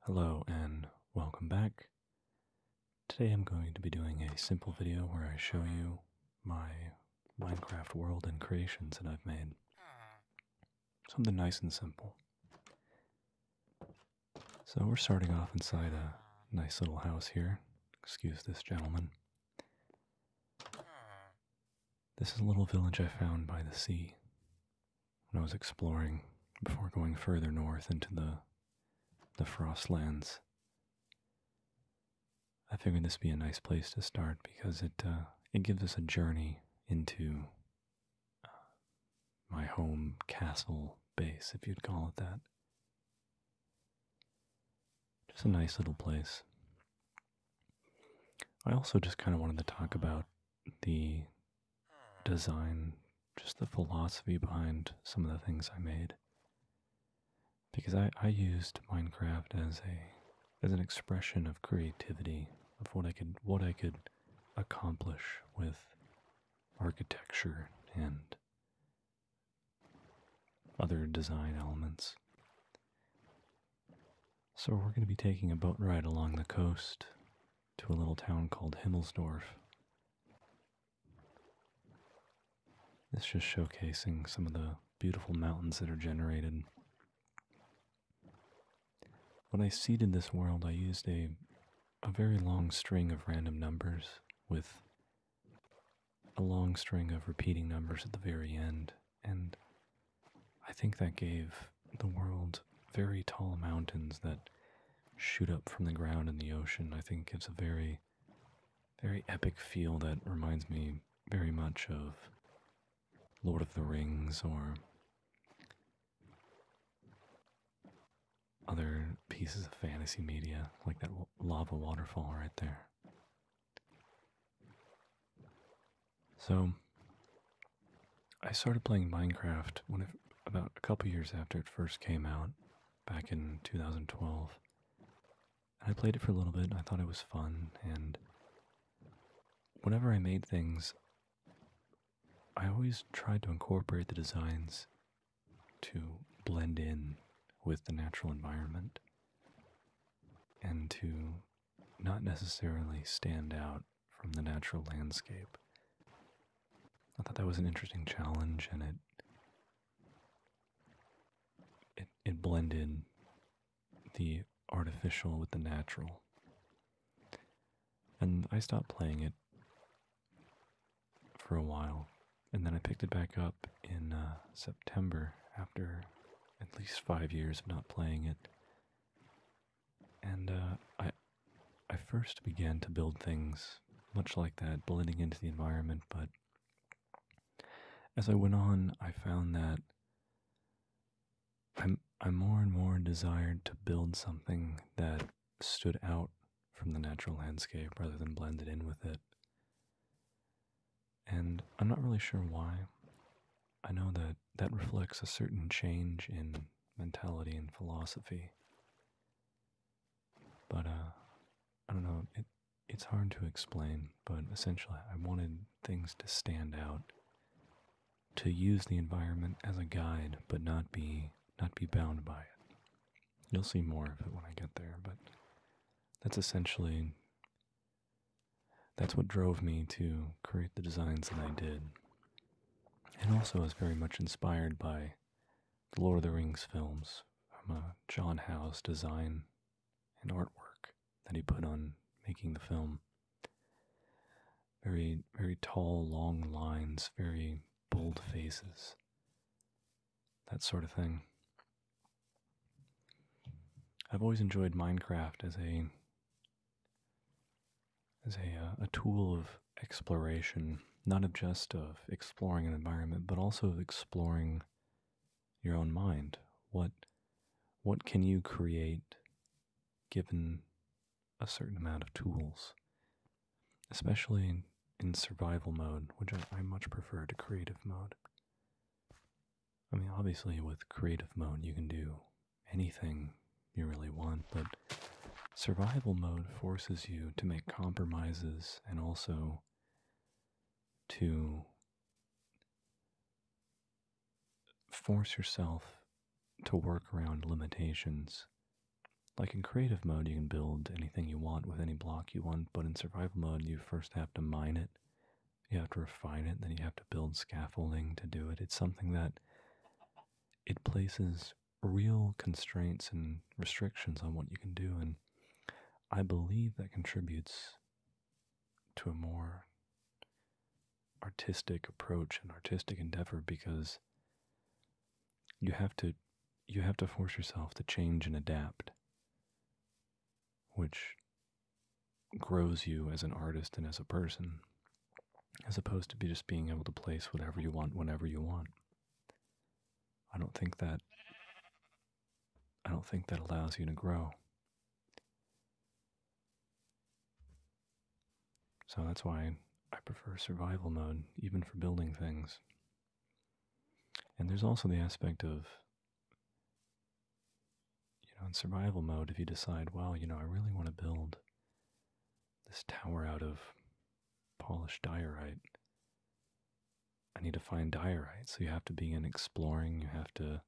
Hello and welcome back. Today I'm going to be doing a simple video where I show you my Minecraft world and creations that I've made. Something nice and simple. So we're starting off inside a nice little house here. Excuse this gentleman. This is a little village I found by the sea when I was exploring before going further north into the the frostlands. I figured this would be a nice place to start because it uh, it gives us a journey into uh, my home castle base, if you'd call it that. Just a nice little place. I also just kind of wanted to talk about the design, just the philosophy behind some of the things I made. Because I, I used Minecraft as a as an expression of creativity of what I could what I could accomplish with architecture and other design elements. So, we're going to be taking a boat ride along the coast to a little town called Himmelsdorf. It's just showcasing some of the beautiful mountains that are generated. When I seeded this world, I used a, a very long string of random numbers with a long string of repeating numbers at the very end and I think that gave the world very tall mountains that shoot up from the ground in the ocean. I think gives a very, very epic feel that reminds me very much of Lord of the Rings or other pieces of fantasy media, like that lava waterfall right there. So I started playing Minecraft when about a couple years after it first came out, back in 2012. And I played it for a little bit I thought it was fun and whenever I made things I always tried to incorporate the designs to blend in with the natural environment and to not necessarily stand out from the natural landscape. I thought that was an interesting challenge, and it it, blended the artificial with the natural. And I stopped playing it for a while, and then I picked it back up in uh, September after at least five years of not playing it. And uh, I, I first began to build things much like that, blending into the environment. But as I went on, I found that i I more and more desired to build something that stood out from the natural landscape rather than blended in with it. And I'm not really sure why. I know that that reflects a certain change in mentality and philosophy. But uh, I don't know, it's hard to explain, but essentially I wanted things to stand out. To use the environment as a guide, but not be not be bound by it. You'll see more of it when I get there, but that's essentially that's what drove me to create the designs that I did. And also, I was very much inspired by the Lord of the Rings films uh, John Howe's design and artwork that he put on making the film. Very, very tall, long lines, very bold faces, that sort of thing. I've always enjoyed Minecraft as a as a, uh, a tool of exploration, not of just of exploring an environment, but also of exploring your own mind. What what can you create given a certain amount of tools, especially in, survival mode, which I much prefer to creative mode. I mean, obviously, with creative mode, you can do anything you really want, but survival mode forces you to make compromises and also to force yourself to work around limitations. Like in creative mode, you can build anything you want with any block you want, but in survival mode, you first have to mine it you have to refine it, then you have to build scaffolding to do it. It's something that it places real constraints and restrictions on what you can do. And I believe that contributes to a more artistic approach and artistic endeavor because you have to you have to force yourself to change and adapt which grows you as an artist and as a person, as opposed to be just being able to place whatever you want whenever you want. I don't think that I don't think that allows you to grow. So that's why I prefer survival mode, even for building things. And there's also the aspect of you know, in survival mode, if you decide, well, you know, I really want to build this tower out of polished diorite, I need to find diorite. So you have to begin exploring, you have to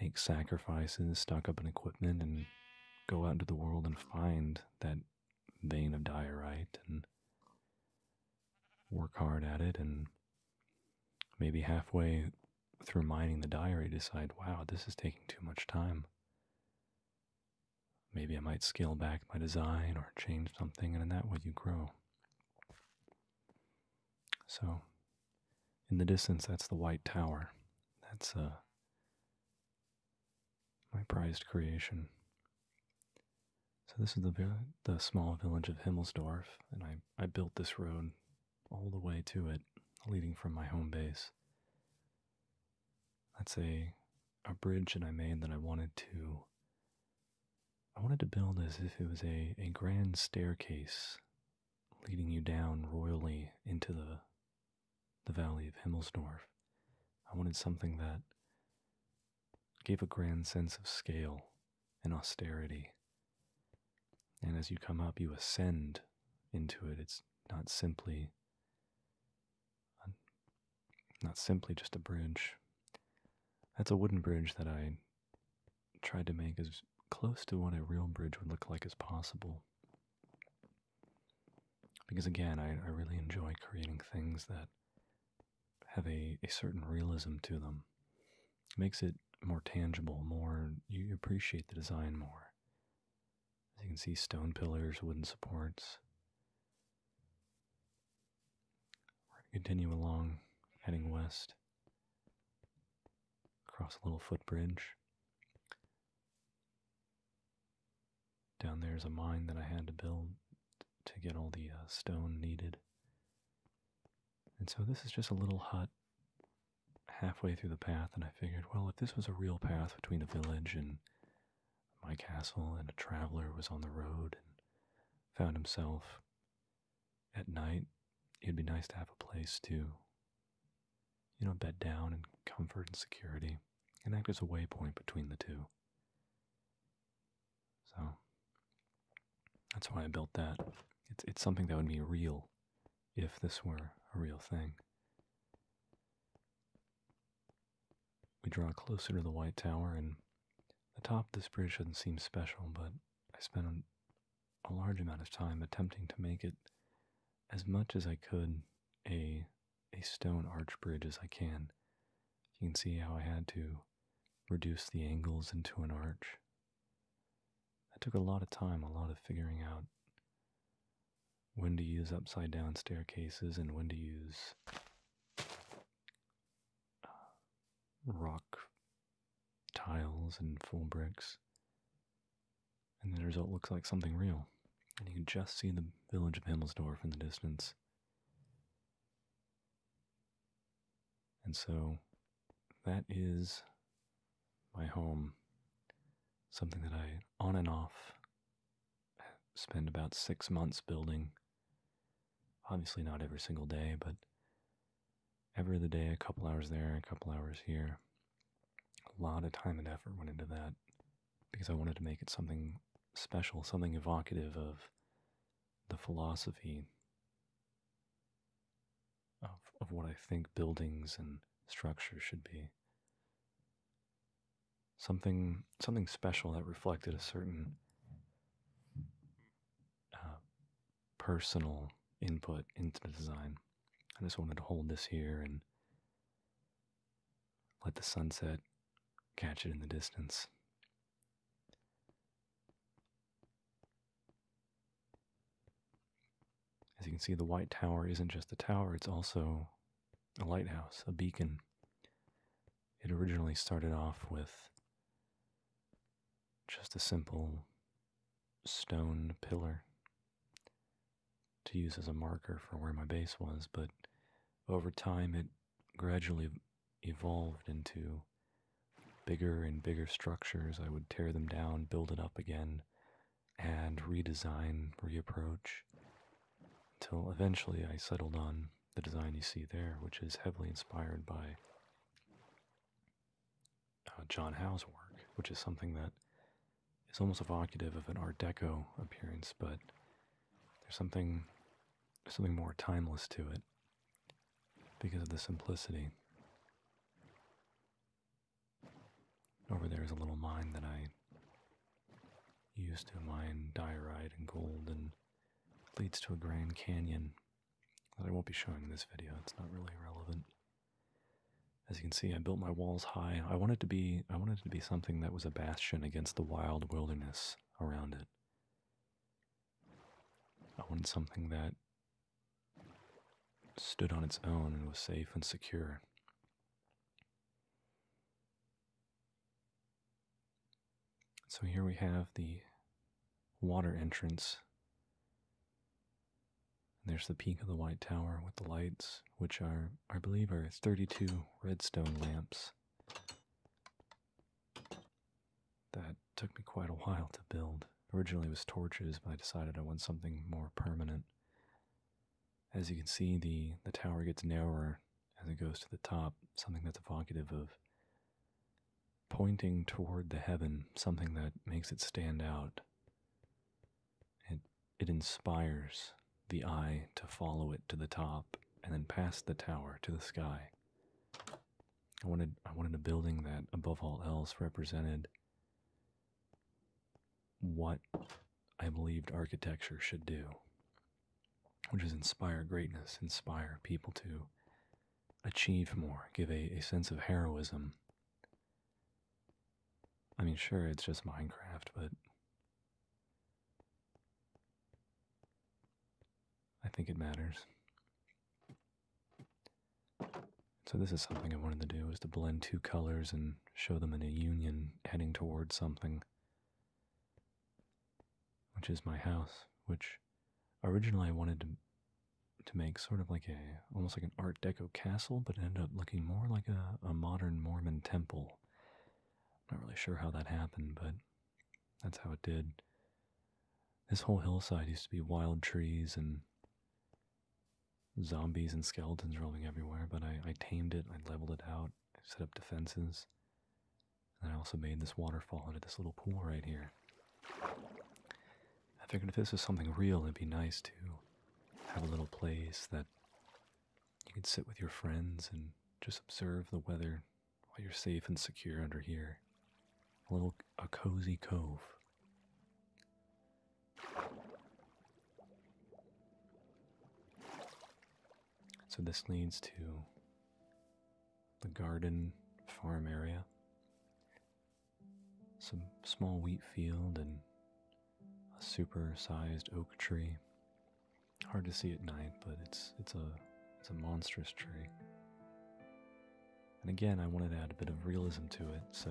make sacrifices, stock up on equipment, and go out into the world and find that vein of diorite and work hard at it and maybe halfway through mining the diary, decide, wow, this is taking too much time. Maybe I might scale back my design or change something, and in that way you grow. So, in the distance, that's the White Tower. That's uh, my prized creation. So this is the the small village of Himmelsdorf, and I, I built this road all the way to it, leading from my home base. That's a a bridge that I made that I wanted to I wanted to build as if it was a, a grand staircase leading you down royally into the the valley of Himmelsdorf. I wanted something that gave a grand sense of scale and austerity. And as you come up, you ascend into it. It's not simply not simply just a bridge. That's a wooden bridge that I tried to make as close to what a real bridge would look like as possible. Because again, I, really enjoy creating things that have a, a certain realism to them makes it more tangible, more you appreciate the design more. As you can see, stone pillars, wooden supports. We're going to continue along, heading west, across a little footbridge. Down there is a mine that I had to build to get all the uh, stone needed. And so this is just a little hut halfway through the path, and I figured, well, if this was a real path between the village and my castle, and a traveler was on the road and found himself at night, it'd be nice to have a place to, you know, bed down in comfort and security and act as a waypoint between the two. So that's why I built that. It's, it's something that would be real if this were a real thing. We draw closer to the White Tower, and the top of this bridge does not seem special, but I spent a large amount of time attempting to make it as much as I could a, a stone arch bridge as I can. You can see how I had to reduce the angles into an arch that took a lot of time, a lot of figuring out when to use upside down staircases and when to use uh, rock tiles and full bricks. And the result looks like something real. And you can just see the village of Himmelsdorf in the distance. And so that is my home. Something that I, on and off, spend about six months building. Obviously, not every single day, but every other day, a couple hours there, a couple hours here. A lot of time and effort went into that because I wanted to make it something special, something evocative of the philosophy of, of what I think buildings and structures should be. Something something special that reflected a certain uh, personal input into the design. I just wanted to hold this here and let the sunset catch it in the distance. As you can see, the White Tower isn't just a tower, it's also a lighthouse, a beacon. It originally started off with just a simple stone pillar to use as a marker for where my base was, but over time it gradually evolved into bigger and bigger structures. I would tear them down, build it up again, and redesign, reapproach, until eventually I settled on the design you see there, which is heavily inspired by uh, John Howe's work, which is something that is almost evocative of an Art Deco appearance, but there's something there's something more timeless to it because of the simplicity. Over there is a little mine that I used to mine diorite and gold and leads to a grand canyon that I won't be showing in this video. It's not really relevant. As you can see, I built my walls high. I wanted to be I wanted it to be something that was a bastion against the wild wilderness around it. I wanted something that stood on its own and was safe and secure. So here we have the water entrance. there's the peak of the White Tower with the lights, which are, I believe, are 32 redstone lamps that took me quite a while to build. Originally it was torches, but I decided I want something more permanent. As you can see, the, the tower gets narrower as it goes to the top, something that's evocative of pointing toward the heaven, something that makes it stand out. It, it inspires the eye to follow it to the top and then past the tower to the sky. I wanted I wanted a building that above all else represented what I believed architecture should do, which is inspire greatness, inspire people to achieve more, give a, a sense of heroism. I mean, sure, it's just Minecraft, but I think it matters. So this is something I wanted to do, is to blend two colors and show them in a union heading towards something. Which is my house, which originally I wanted to to make sort of like a almost like an art deco castle but it ended up looking more like a, a modern mormon temple i'm not really sure how that happened but that's how it did this whole hillside used to be wild trees and zombies and skeletons rolling everywhere, but I, tamed it, I leveled it out, I set up defenses, and I also made this waterfall into this little pool right here. I figured if this is something real, it'd be nice to have a little place that you could sit with your friends and just observe the weather while you're safe and secure under here. A little, a cozy cove. So this leads to the garden farm area, some small wheat field, and a super-sized oak tree. Hard to see at night, but it's it's a it's a monstrous tree. And again, I wanted to add a bit of realism to it, so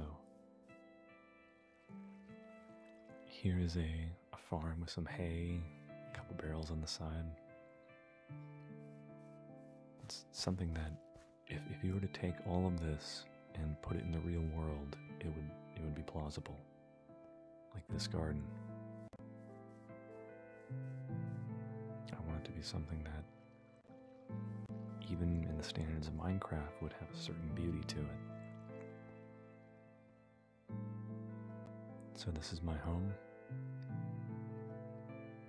here is a, farm with some hay, a couple barrels on the side. It's something that if, if you were to take all of this and put it in the real world, it would it would be plausible. Like this mm-hmm. garden. I want it to be something that even in the standards of Minecraft, would have a certain beauty to it. So, this is my home.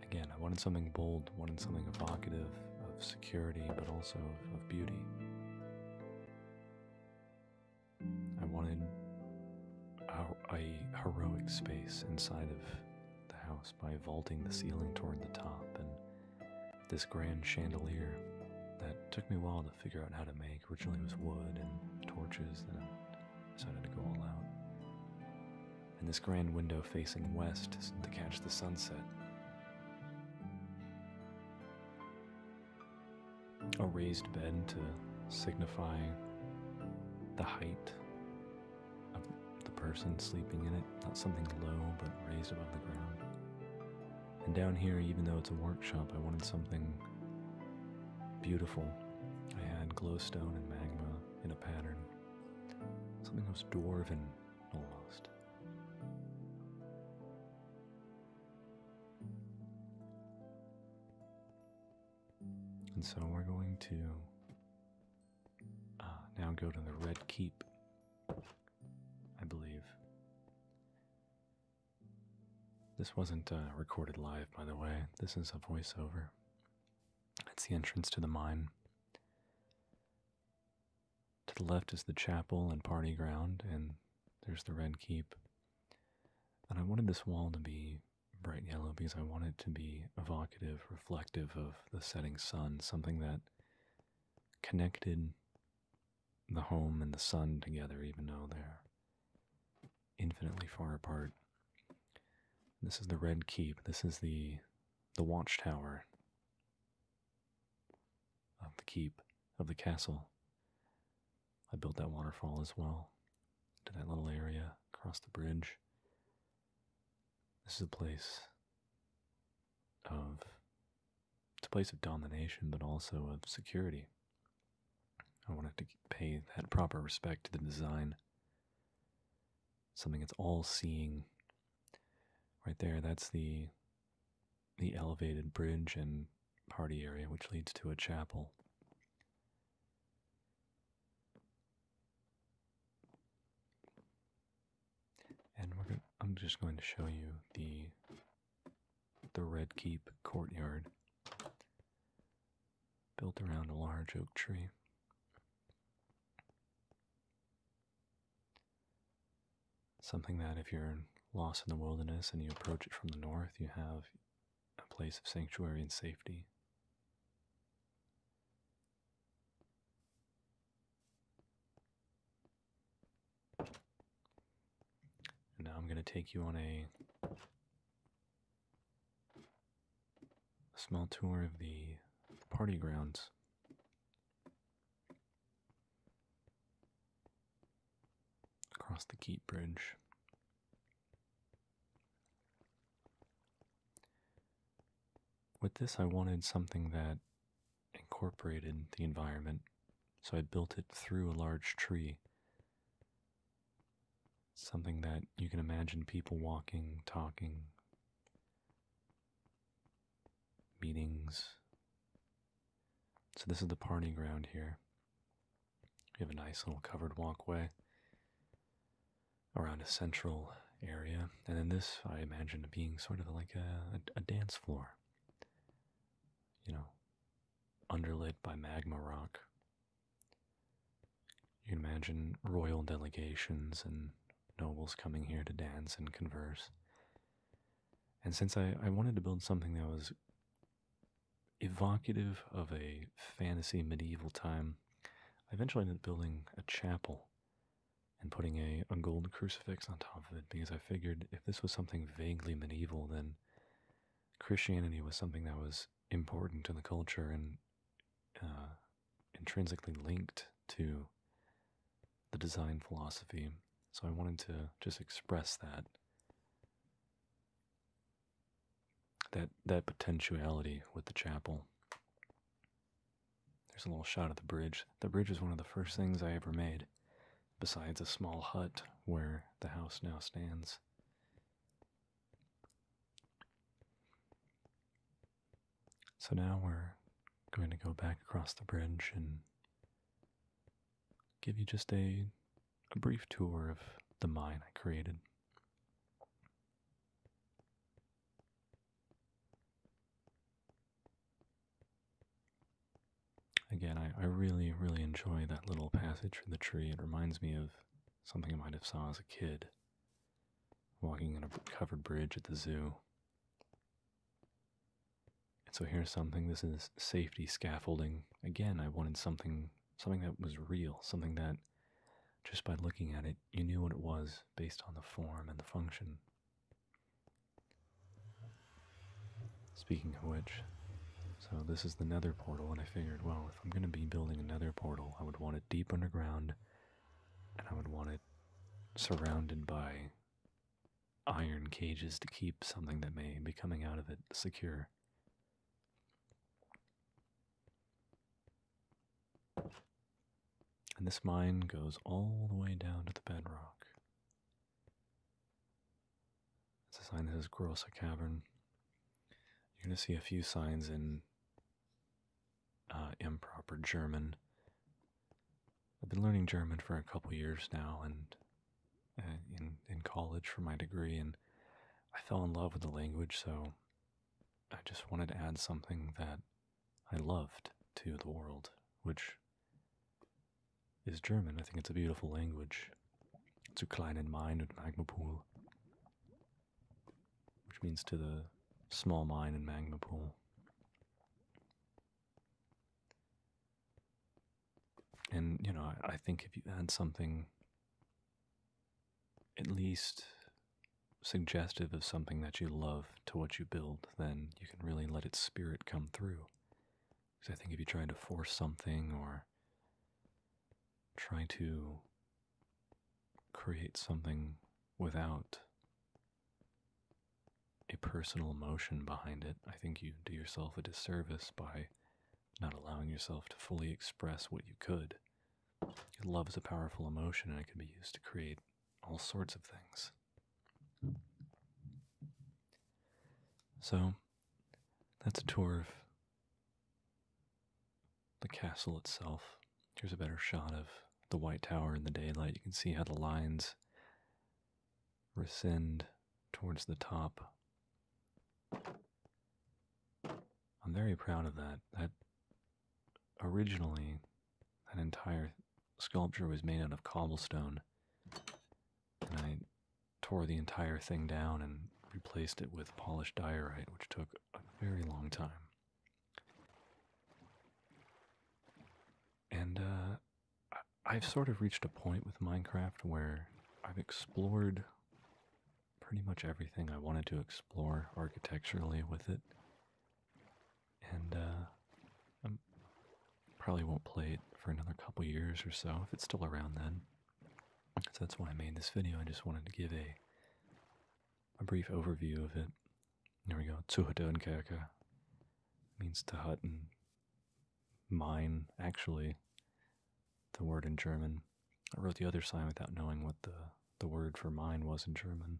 Again, I wanted something bold, wanted something evocative of security, but also of, beauty. I wanted a, heroic space inside of the house by vaulting the ceiling toward the top and this grand chandelier that took me a while to figure out how to make. Originally, was wood and torches, then I decided to go all out. And this grand window facing west to catch the sunset. A raised bed to signify the height of the person sleeping in it, not something low but raised above the ground. And down here, even though it's a workshop, I wanted something beautiful. I had glowstone and magma in a pattern, something that dwarven almost. And so we're going to Ah, now go to the Red Keep, I believe. This wasn't uh, recorded live, by the way. This is a voiceover. It's the entrance to the mine. To the left is the chapel and party ground, and there's the Red Keep. And I wanted this wall to be bright yellow because I want it to be evocative, reflective of the setting sun, something that connected the home and the sun together, even though they're infinitely far apart. This is the Red Keep. This is the the watchtower of the keep of the castle. I built that waterfall as well to that little area across the bridge. This is a place of it's a place of domination, but also of security. I wanted to pay that proper respect to the design. Something it's all-seeing. Right there, that's the the elevated bridge and party area, which leads to a chapel. And I'm just going to show you the the Red Keep courtyard, built around a large oak tree. Something that if you're lost in the wilderness and you approach it from the north, you have a place of sanctuary and safety. And now I'm going to take you on a, a small tour of the party grounds. Across the Keep Bridge. With this, I wanted something that incorporated the environment, so I built it through a large tree. Something that you can imagine people walking, talking, meetings. So, this is the party ground here. We have a nice little covered walkway around a central area, and then this I imagine being sort of like a, dance floor. You know, underlit by magma rock. You can imagine royal delegations and nobles coming here to dance and converse. And since I wanted to build something that was evocative of a fantasy medieval time, I eventually ended up building a chapel and putting a, a gold crucifix on top of it because I figured if this was something vaguely medieval, then Christianity was something that was important to the culture and uh, intrinsically linked to the design philosophy. So I wanted to just express that. That, that potentiality with the chapel. There's a little shot of the bridge. The bridge was one of the first things I ever made, besides a small hut where the house now stands. So now we're going to go back across the bridge and give you just a, brief tour of the mine I created. Again, I, I really, really enjoy that little passage from the tree. It reminds me of something I might have saw as a kid walking on a covered bridge at the zoo. And so here's something. This is safety scaffolding. Again, I wanted something something that was real, something that just by looking at it you knew what it was based on the form and the function. Speaking of which, so this is the nether portal, and I figured, well, if I'm going to be building another portal, I would want it deep underground, and I would want it surrounded by iron cages to keep something that may be coming out of it secure. And this mine goes all the way down to the bedrock. It's a sign that says Grossa Cavern. You're going to see a few signs in uh, improper German. I've been learning German for a couple years now, and uh, in in college for my degree, and I fell in love with the language. So I just wanted to add something that I loved to the world, which is German. I think it's a beautiful language. Zu Mine Main und Pool, which means to the small mine and magma pool. And, you know, I think if you add something at least suggestive of something that you love to what you build, then you can really let its spirit come through. Because I think if you try to force something or try to create something without a personal emotion behind it, I think you do yourself a disservice by not allowing yourself to fully express what you could Love is a powerful emotion and it can be used to create all sorts of things. So, that's a tour of the castle itself. Here's a better shot of the White Tower in the daylight. You can see how the lines rescind towards the top. I'm very proud of that. That originally that entire sculpture was made out of cobblestone, and I tore the entire thing down and replaced it with polished diorite, which took a very long time. And uh, I've sort of reached a point with Minecraft where I've explored pretty much everything I wanted to explore architecturally with it and uh, probably won't play it for another couple years or so if it's still around then. So that's why I made this video. I just wanted to give a a brief overview of it. There we go. Zuhödenkerke means to hut and mine. Actually, the word in German. I wrote the other sign without knowing what the the word for mine was in German.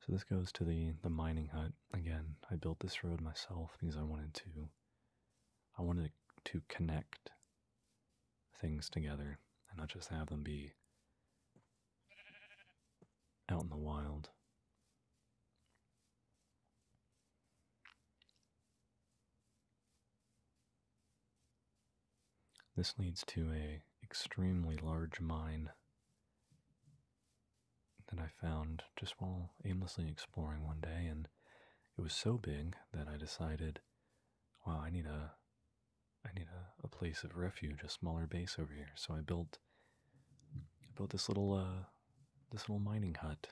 So this goes to the the mining hut again. I built this road myself because I wanted to I wanted to connect things together and not just have them be out in the wild. This leads to a extremely large mine that I found just while aimlessly exploring one day and it was so big that I decided, wow, I need a I need a, place of refuge, a smaller base over here. So I built built this little uh, this little mining hut.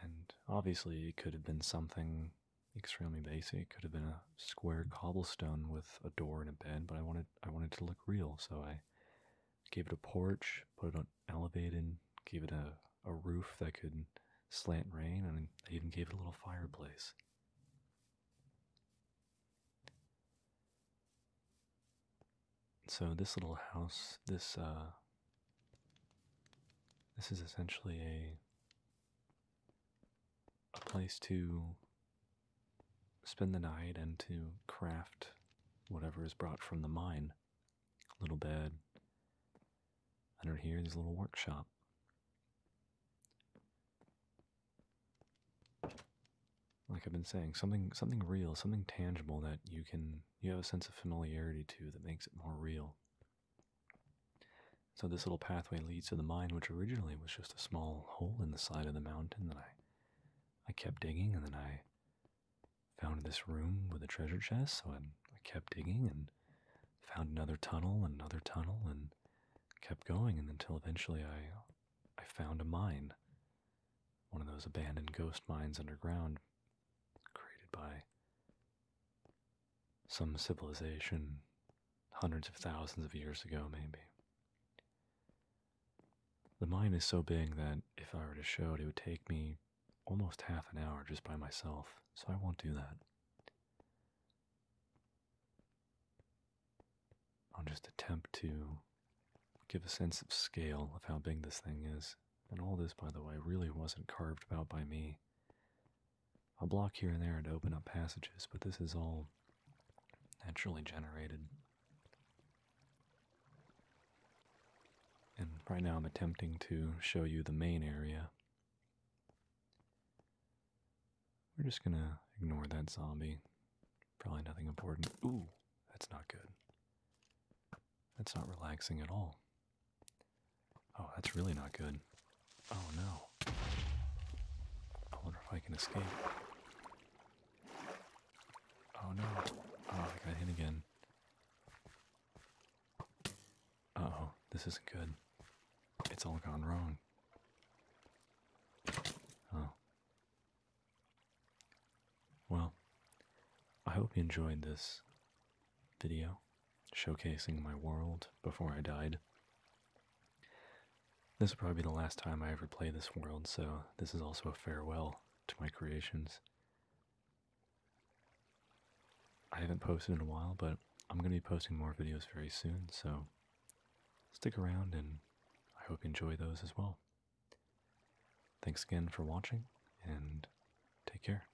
And obviously it could have been something extremely basic. Could have been a square cobblestone with a door and a bed, but I wanted I wanted to look real, so I gave it a porch, put it on elevated, gave it a, a roof that could slant rain, and I even gave it a little fireplace. So this little house, this uh, this is essentially a a place to spend the night and to craft whatever is brought from the mine. Little bed. Under here is a little workshop. Like I've been saying, something something real, something tangible that you can you have a sense of familiarity to that makes it more real. So this little pathway leads to the mine, which originally was just a small hole in the side of the mountain that I I kept digging and then I found this room with a treasure chest, so I, kept digging and found another tunnel and another tunnel and kept going and until eventually I I found a mine. One of those abandoned ghost mines underground created by some civilization hundreds of thousands of years ago, maybe. The mine is so big that if I were to show it, it would take me almost half an hour just by myself, so I won't do that. I'll just attempt to give a sense of scale of how big this thing is. And all this, by the way, really wasn't carved out by me. A block here and there to open up passages, but this is all naturally generated. And right now I'm attempting to show you the main area. We're just gonna ignore that zombie. Probably nothing important. Ooh, that's not good. That's not relaxing at all. Oh, that's really not good. Oh no. I wonder if I can escape. Oh no. Oh, I got hit again. Uh oh, this isn't good. It's all gone wrong. Oh. Well, I hope you enjoyed this video showcasing my world before I died. This will probably be the last time I ever play this world, so this is also a farewell to my creations. I haven't posted in a while, but I'm going to be posting more videos very soon, so stick around and I hope you enjoy those as well. Thanks again for watching, and take care.